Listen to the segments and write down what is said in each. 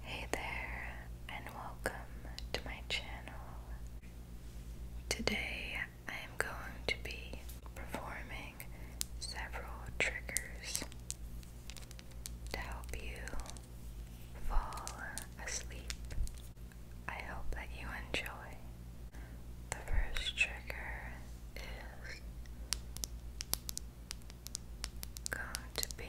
Hey there, and welcome to my channel. Today I am going to be performing several triggers to help you fall asleep. I hope that you enjoy. The first trigger is going to be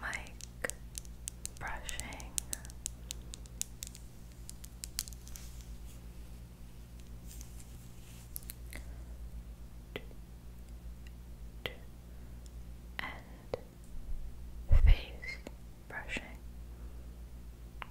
Mike brushing and face brushing.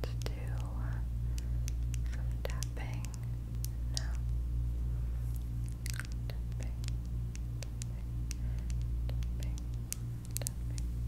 Let's uh, tapping now. Tapping, tapping, tapping, tapping, tapping,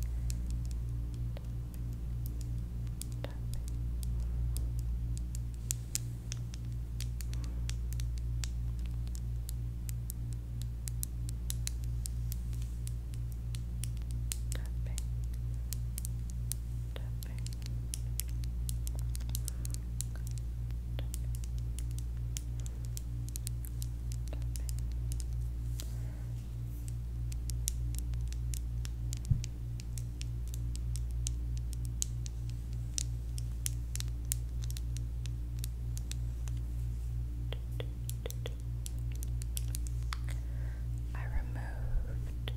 I remove removed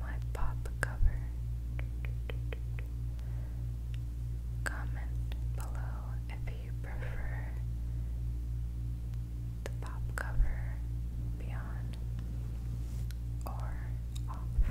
my pop cover. Comment below if you prefer the pop cover be or off.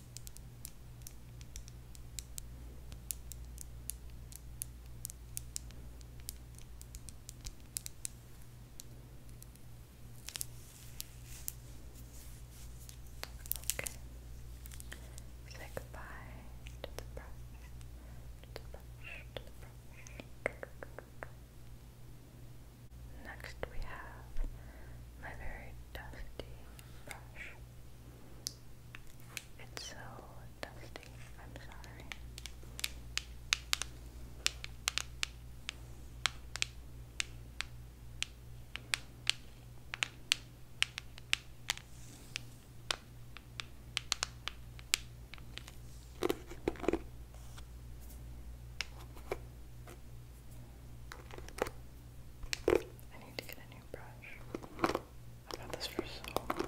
Okay. Say goodbye to the brush, to the brush, to the brush. Next we have my very dusty brush. It's so dusty, I'm sorry. I need to get a new brush. I've had this for so long.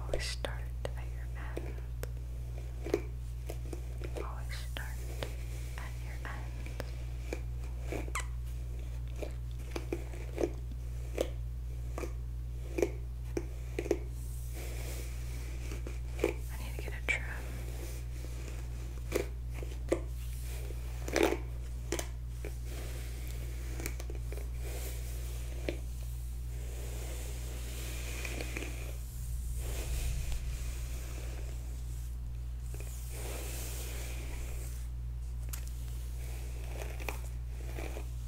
Always start at your end. Always start at your end. I need to get a trim.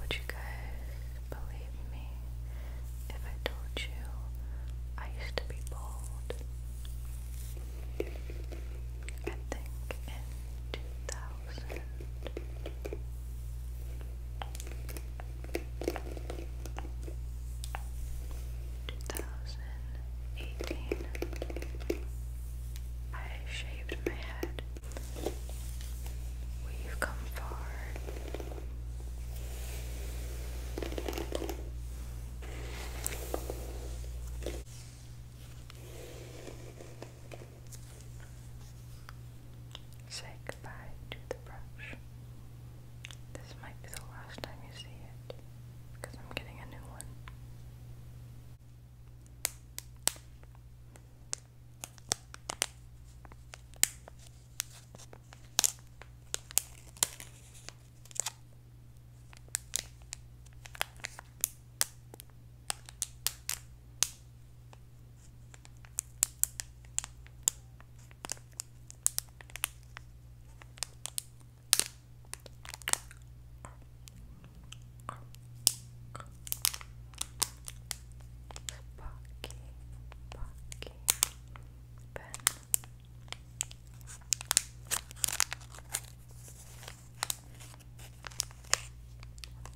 Would you guys Believe me, if I told you, I used to be bald. I think in 2000. I shaved my head. We've come far. Say goodbye to the brush. This might be the last time you see it because I'm getting a new one. Bucky, Bucky, pen. With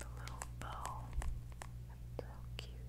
little bow. so cute.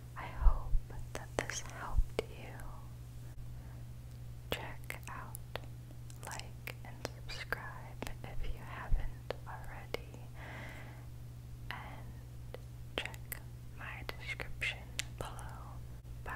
I hope that this helped you. Check out, like, and subscribe if you haven't already. And check my description below. Bye.